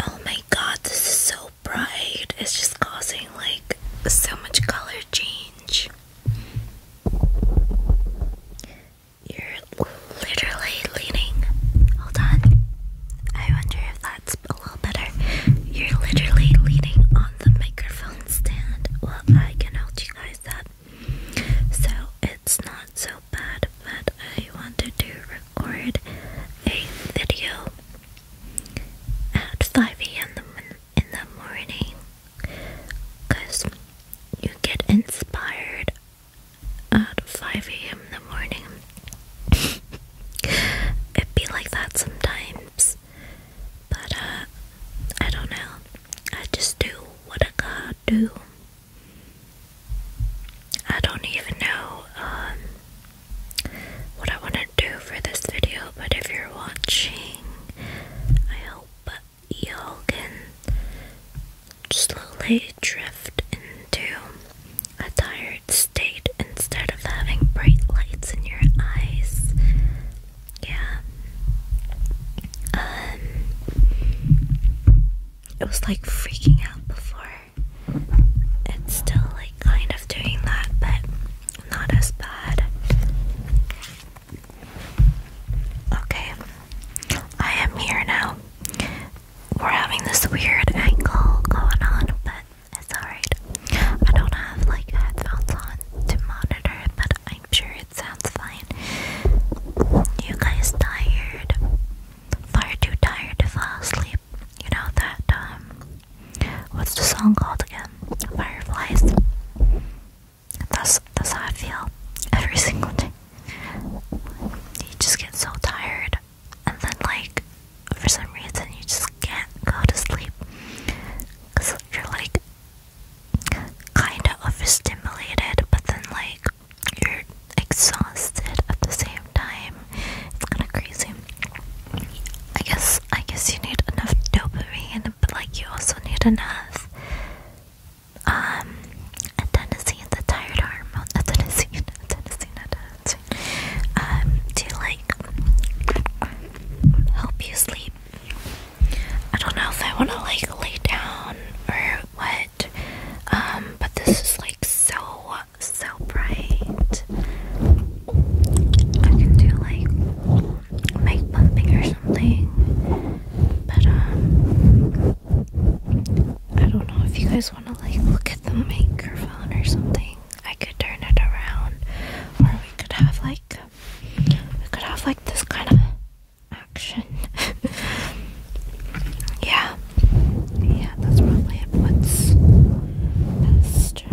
Oh my god, this is so bright. It's just causing like so much color change. You're literally leaning. Hold on. I wonder if that's a little better. You're literally leaning on the microphone stand. Well, I can hold you guys up. So it's not so bad that I wanted to record a video at 5 a.m. in the morning because you get inspired at 5 a.m. in the morning. It'd be like that sometimes, but uh, I don't know. I just do what I got do. I don't even know um, what I want to do for this video, but if you're watching, I hope y'all can slowly drift into a tired state instead of having bright lights in your eyes. Yeah. Um, it was like freaking out before. It's still like kind of doing that, but not as bad. Okay, I am here now. We're having this weird angle going on, but it's alright. I don't have like headphones on to monitor, but I'm sure it sounds fine. You guys tired? far too tired to fall asleep. You know that, um, what's the song called again? Fireflies. That's, that's how I feel every single day. You just get so tired, and then, like, for some reason, you just can't go to sleep. Because you're, like, kind of overstimulated, but then, like, you're exhausted at the same time. It's kind of crazy. I guess I guess you need enough dopamine, but like you also need enough um adenosine, the tired hormone, adenosine, adenosine, adenosine, um, to like help you sleep. I don't know if I want to like lay down or what, um, but this is like so so bright. I can do like mic bumping or something. But um I don't know if you guys wanna like look at the microphone or something. I could turn it around. Or we could have like we could have like this kind of action. yeah. Yeah, that's probably it. What's best?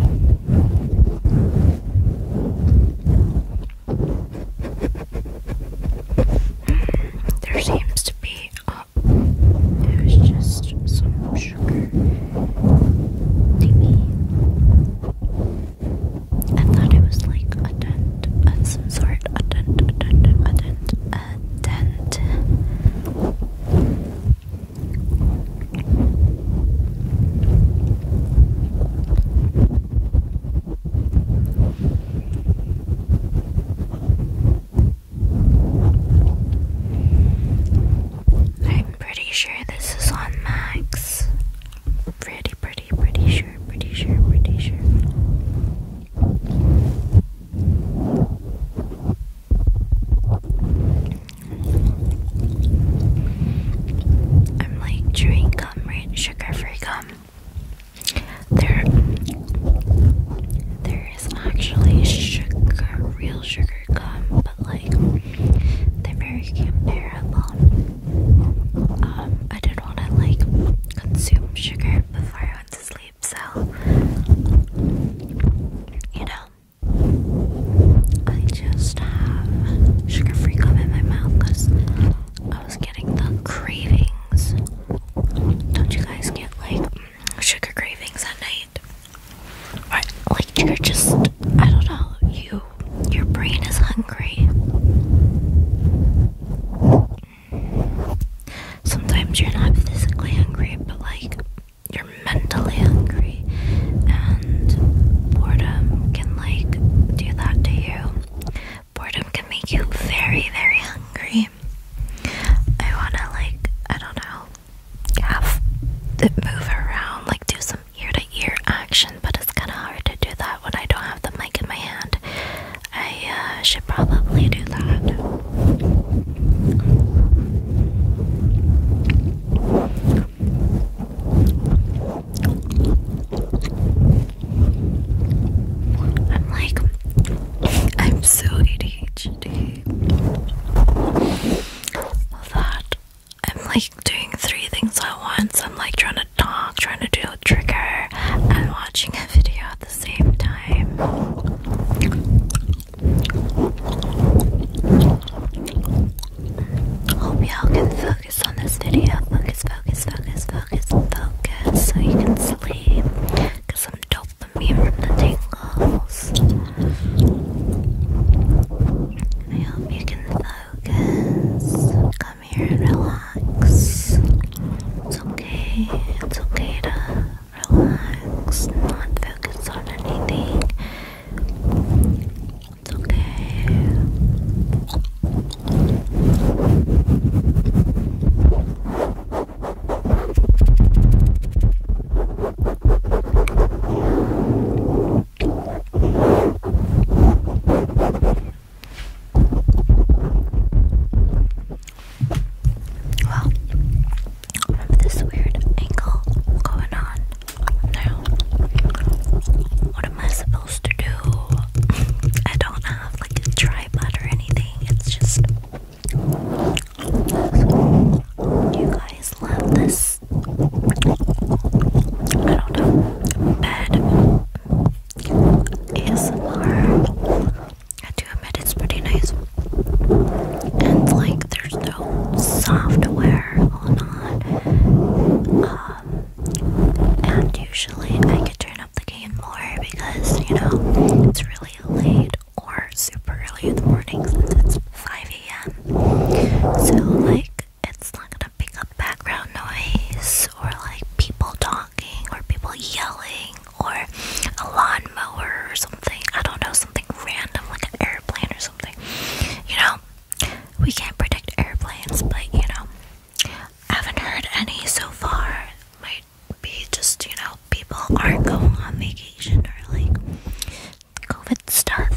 There seems to be it oh, was just some sugar thingy. I thought it was like a dent uh, some sort. A dent, a dent, a dent. I'm pretty sure this is on Max. Pretty, pretty, pretty sure, pretty sure, pretty sure. I'm like chewing gum, right? Sugar-free gum. There, there is actually sugar, real sugar gum, but like the American very comparable. Um, I did didn't want to like consume sugar before I went to sleep, so you know, I just have sugar free gum in my mouth because I was getting the cravings. Don't you guys get like sugar cravings at night? like you're just I don't know, you your brain is hungry sometimes you're not physically hungry, but like you're mentally hungry, and boredom can like do that to you. Boredom can make you very, very hungry. I wanna like, I don't know, have to move around, like do some ear to ear action, but it's kinda hard to do that that when I don't have the mic in my hand. I uh, should probably do that. I'm like, I'm so ADHD. I'm like doing three things at once. I'm like trying to talk, trying to do trigger and watching a video at the same time. Hope y'all can focus on this video. Focus, focus, focus, focus, focus, so you can sleep. Get some dopamine from the tingles. I hope you can focus come here and relax. It's okay, it's okay to relax, not focus on anything. It's okay. Well, with this weird angle going on now, what am I supposed to do? I don't have like a tripod or anything, it's just. You guys love this. Bed ASMR. I do admit it's pretty nice. And like there's no software going on. Um and usually I can turn up the game more because, you know, it's really late or super early in the morning since it's 5 a.m. So like it's not gonna pick up background noise or like people talking or people yelling or a lawnmower or something. I don't know, something random like an airplane or something. You know, we can't predict airplanes, but you know, I haven't heard any so far. Might be just, you know, people are not going on vacation or like COVID stuff.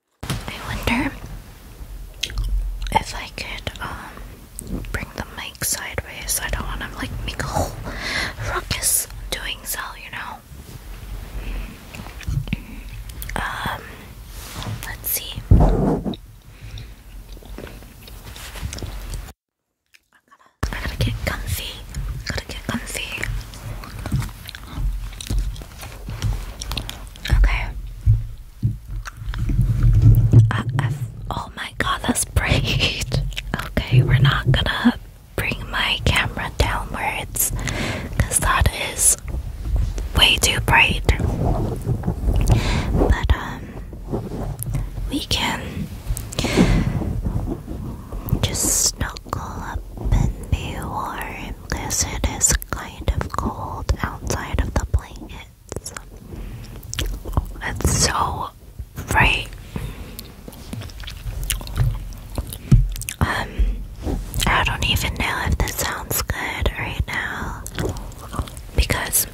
I wonder if I could um bring the mic sideways. I don't want to like make a whole ruckus doing so, you know. Um, let's see. I gotta, to get comfy. I gotta get comfy. Okay oh my god, that's bright. okay, we're not gonna bring my camera downwards because that is way too bright. But, um, we can just snuggle up and be warm unless it is kind of cold outside of the blankets. It's so right. Um, I don't even know if this sounds good right now because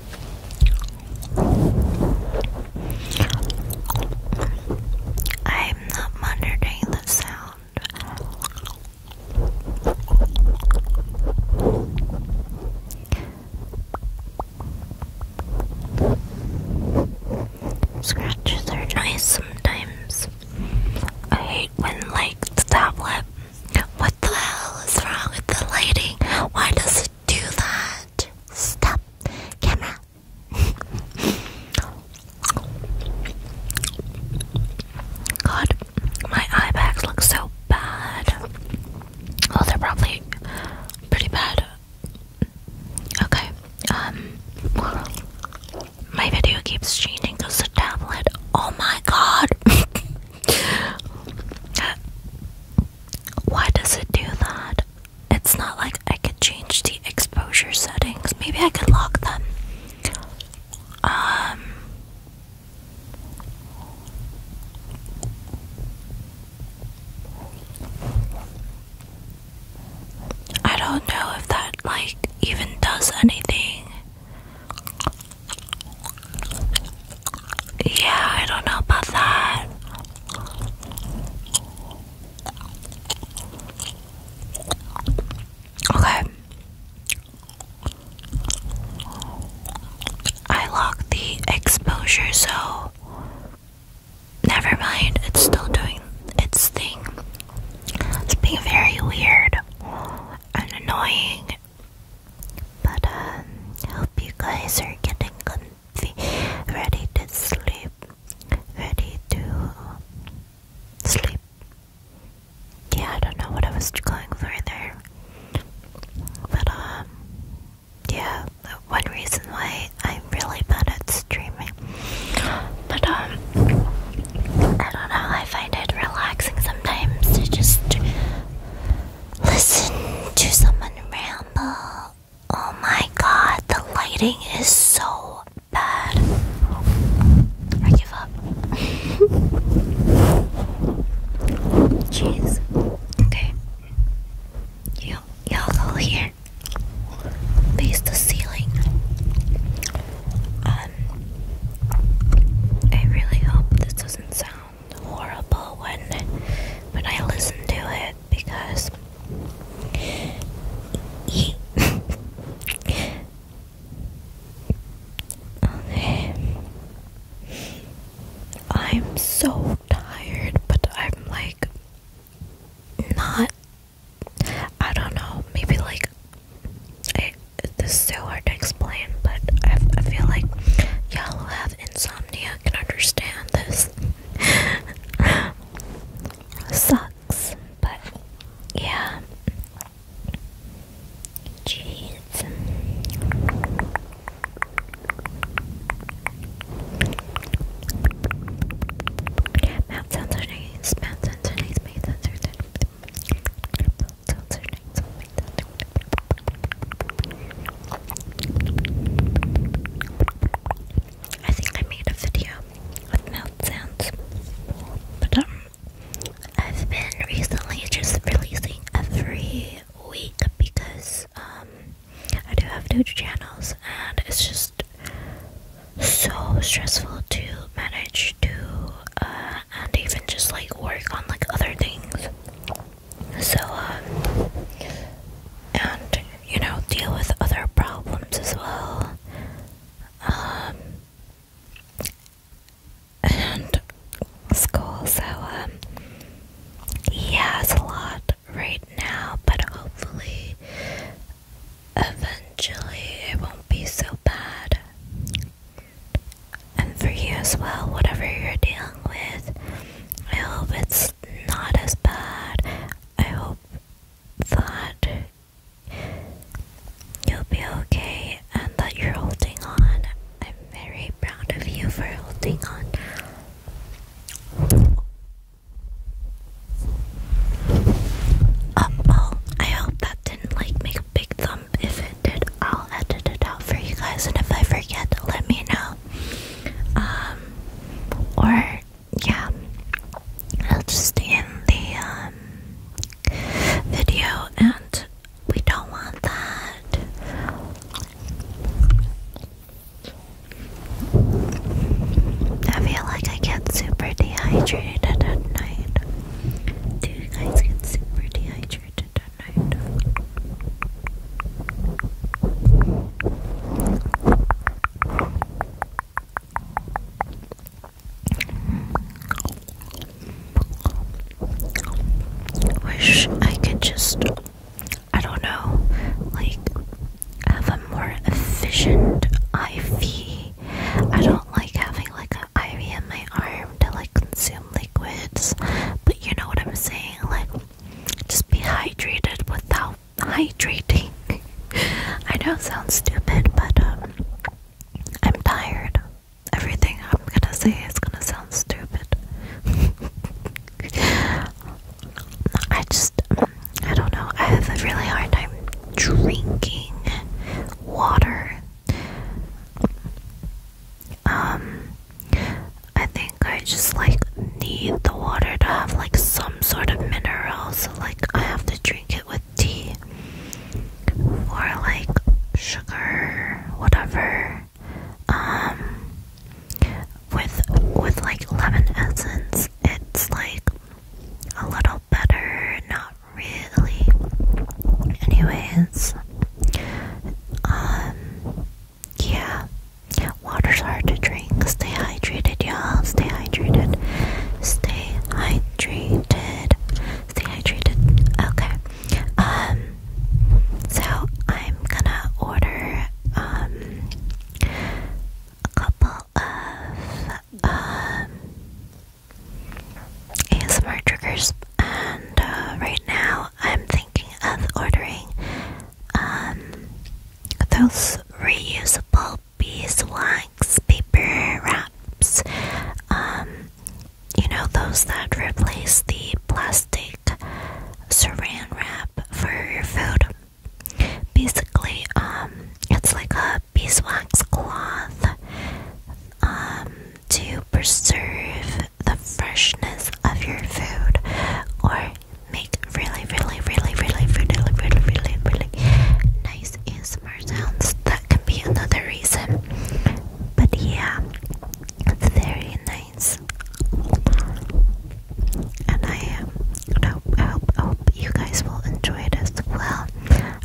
I'm monitoring the sound. Scratches are nice sometimes. I hate when like the tablet. What the hell is wrong with the lighting? Why does it do that? Stop, camera. God, my eye bags look so bad. Oh, they're probably pretty bad. Okay, um, my video keeps changing because the tablet. Oh my god! Uh, why does it do that? It's not like I could change the exposure settings. Maybe I could lock them. Um, I don't know if that like even does anything. Yeah, I don't know about that. Okay. I locked the exposure, so never mind, it's still doing its thing. It's being very weird and annoying. But um hope you guys are getting comfy, ready to sleep, ready to sleep yeah, I don't know what I was going for in there. But, um, yeah, one reason why I'm really bad at streaming. But, um, I don't know, I find it relaxing sometimes to just listen to someone ramble. Oh my god, the lighting is so bad. I give up. Jeez. Okay. You y'all go here. Face the ceiling. Um I really hope this doesn't sound horrible when when I listen to it because I'm so tired, but I'm like not. I don't know. Maybe like I, this is so hard to explain, but I, feel like y'all who have insomnia can understand this. Sucks, but yeah. Cheese. Mouth sounds are nice. Mouth sounds are nice. Mouth sounds are nice. Mouth sounds are nice. I think I made a video of mouth sounds, but I I've been recently just releasing every week because um, I do have two channels and it's just so stressful to manage to uh, and even just like work on like other things. So um, and you know deal with other problems as well. Um, and school. So, um, he has a lot right now, but hopefully, eventually, it won't be so bad. And for you as well, whatever you're dealing with, I hope it's not as bad. I hope that You'll be okay and that you're holding on. I'm very proud of you for holding on. oh, I hope that didn't like make a big thump. If it did, I'll edit it out for you guys. And if I forget, let me know. Um, or yeah, that's just in the um, video, and we don't want that. I feel like I get super dehydrated at night. Do you guys get super dehydrated at night? Wish I could just, I don't know, like have a more efficient IV. I don't like having like an IV in my arm to like consume liquids, but you know what I'm saying? Like, just be hydrated without hydrating. I know it sounds stupid, but um, I'm tired. Everything I'm gonna say is gonna sound stupid. I just, I don't know. I have a really hard time drinking water. Um, I think I just like need the water to have like some sort of mineral, so like I have to drink drink it with tea or like sugar, whatever. Um, with with like lemon essence, it's like a little better, not really. Anyways, um, yeah, water's hard to drink. Stay hydrated, y'all. Stay hydrated. Stay hydrated. Stay hydrated. Okay. Um. So I'm gonna order um a couple of um ASMR triggers, and uh, right now I'm thinking of ordering um those reusable beeswax, paper wraps, um, you know, those that replace the plastic saran wrap for your food. Basically, um, it's like a beeswax cloth um, to preserve the freshness of your food or make really, really, really, really, really, really, really, really nice ASMR sounds. That can be another reason. But yeah, it's very nice. And I, I hope, hope, hope you guys will enjoy it as well.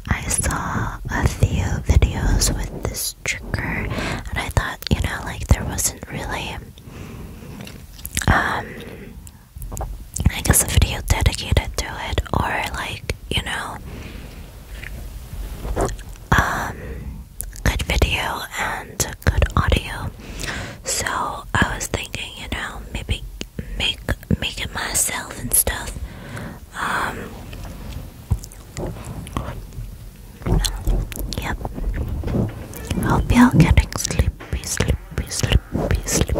I saw a few videos with this trigger, and I thought, you know, like there wasn't really um, I guess a video dedicated to it, or like, you know, um, good video and good audio. So I was thinking, you know, maybe make make it myself and stuff. Um, yep. Hope y'all getting sleepy, sleepy, sleepy sleepy, sleepy.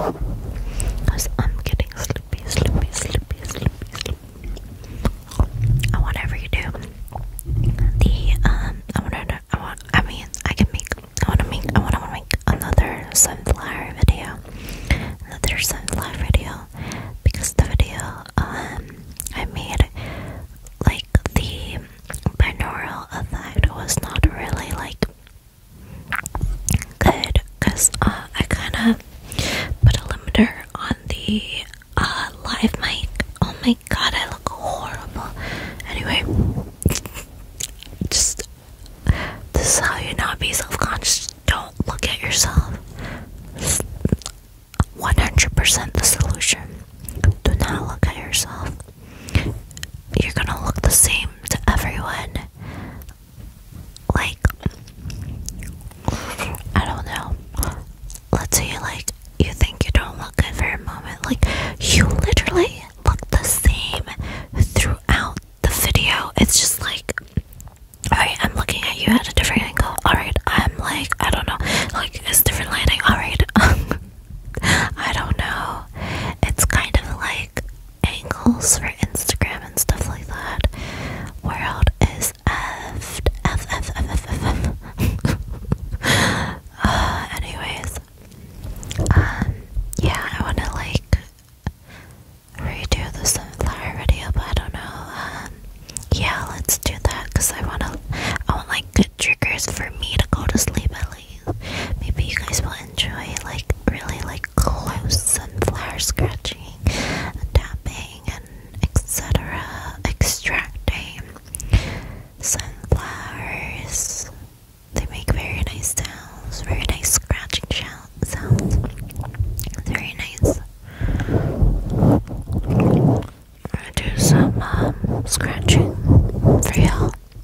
Because I'm getting sleepy, sleepy, sleepy, sleepy, sleepy. I want whatever you do. The um, I want to. I want. I mean, I can make. I want to make. I want to make another sunflower video. Another sunflower video because the video um I made like the binaural effect was not really like Good, because uh, I kind of put a limiter on the uh, live mic. Oh my god, I look horrible. Anyway, just this is how you not be self conscious. Don't look at yourself. 100% the solution. Do not look at yourself you're gonna look the same to everyone. Like, I don't know. Let's say, like, you think you don't look good for a moment. Like, you literally look the same throughout the video. It's just like, alright, I'm looking at you at a different angle. Alright, I'm like, I don't know. Like, it's different lighting. Alright. Um, I don't know. It's kind of like angles for Instagram and stuff like that. World is effed. F, F, F, F, F, F. uh, anyways, um, yeah, I want to like redo the sunflower video, but I don't know. Um, yeah, let's do that because I want to, I want like good triggers for me to go to sleep at least maybe you guys will enjoy like really like close and scratching and tapping and etc extracting sunflowers they make very nice sounds very nice scratching sounds very nice I'm gonna do some um, scratching for y'all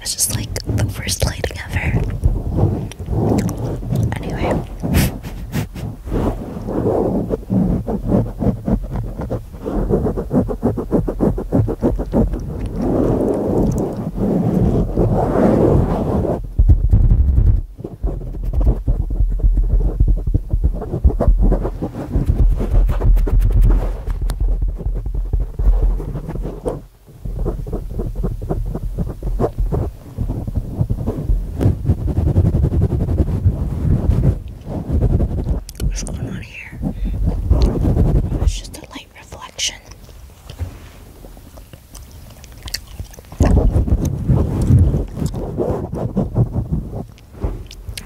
it's just like the worst lighting ever. Anyway. What's going on here? Oh, it's just a light reflection.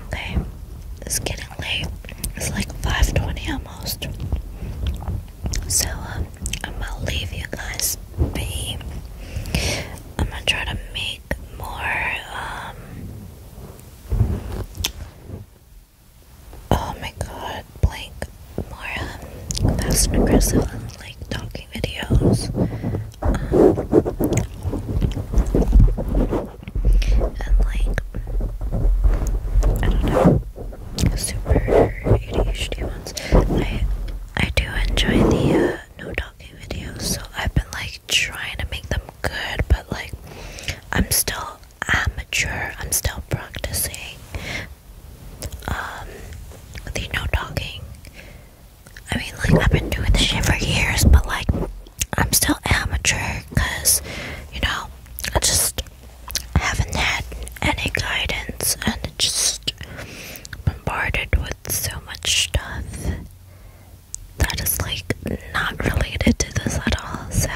Okay, it's getting late. It's like 5:20 almost. So um, I'm gonna leave you guys be. I'm gonna try to make more. Um, oh my god, blank. More um, fast and aggressive, and, like talking videos. Um, and like I don't know super ADHD ones. I I do enjoy the uh, no talking videos, so I've been like trying to make them good, but like I'm still amateur. I'm still practicing um the no talking. I mean, like I've been doing this shit for years, but like I'm still amateur because, you know, I just haven't had any guidance and just bombarded with so much stuff that is like not related to this at all. So,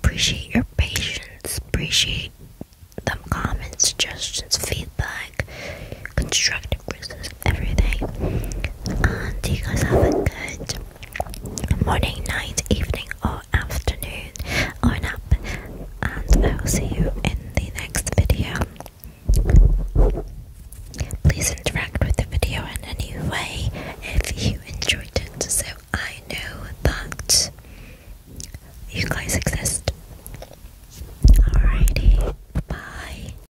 appreciate your patience, appreciate the comments, suggestions, feedback constructive criticism, everything. And uh, you guys have a good morning, night, evening, or afternoon, or up, And I will see you in the next video. Please interact with the video in any way if you enjoyed it, so I know that you guys exist. Alrighty, bye.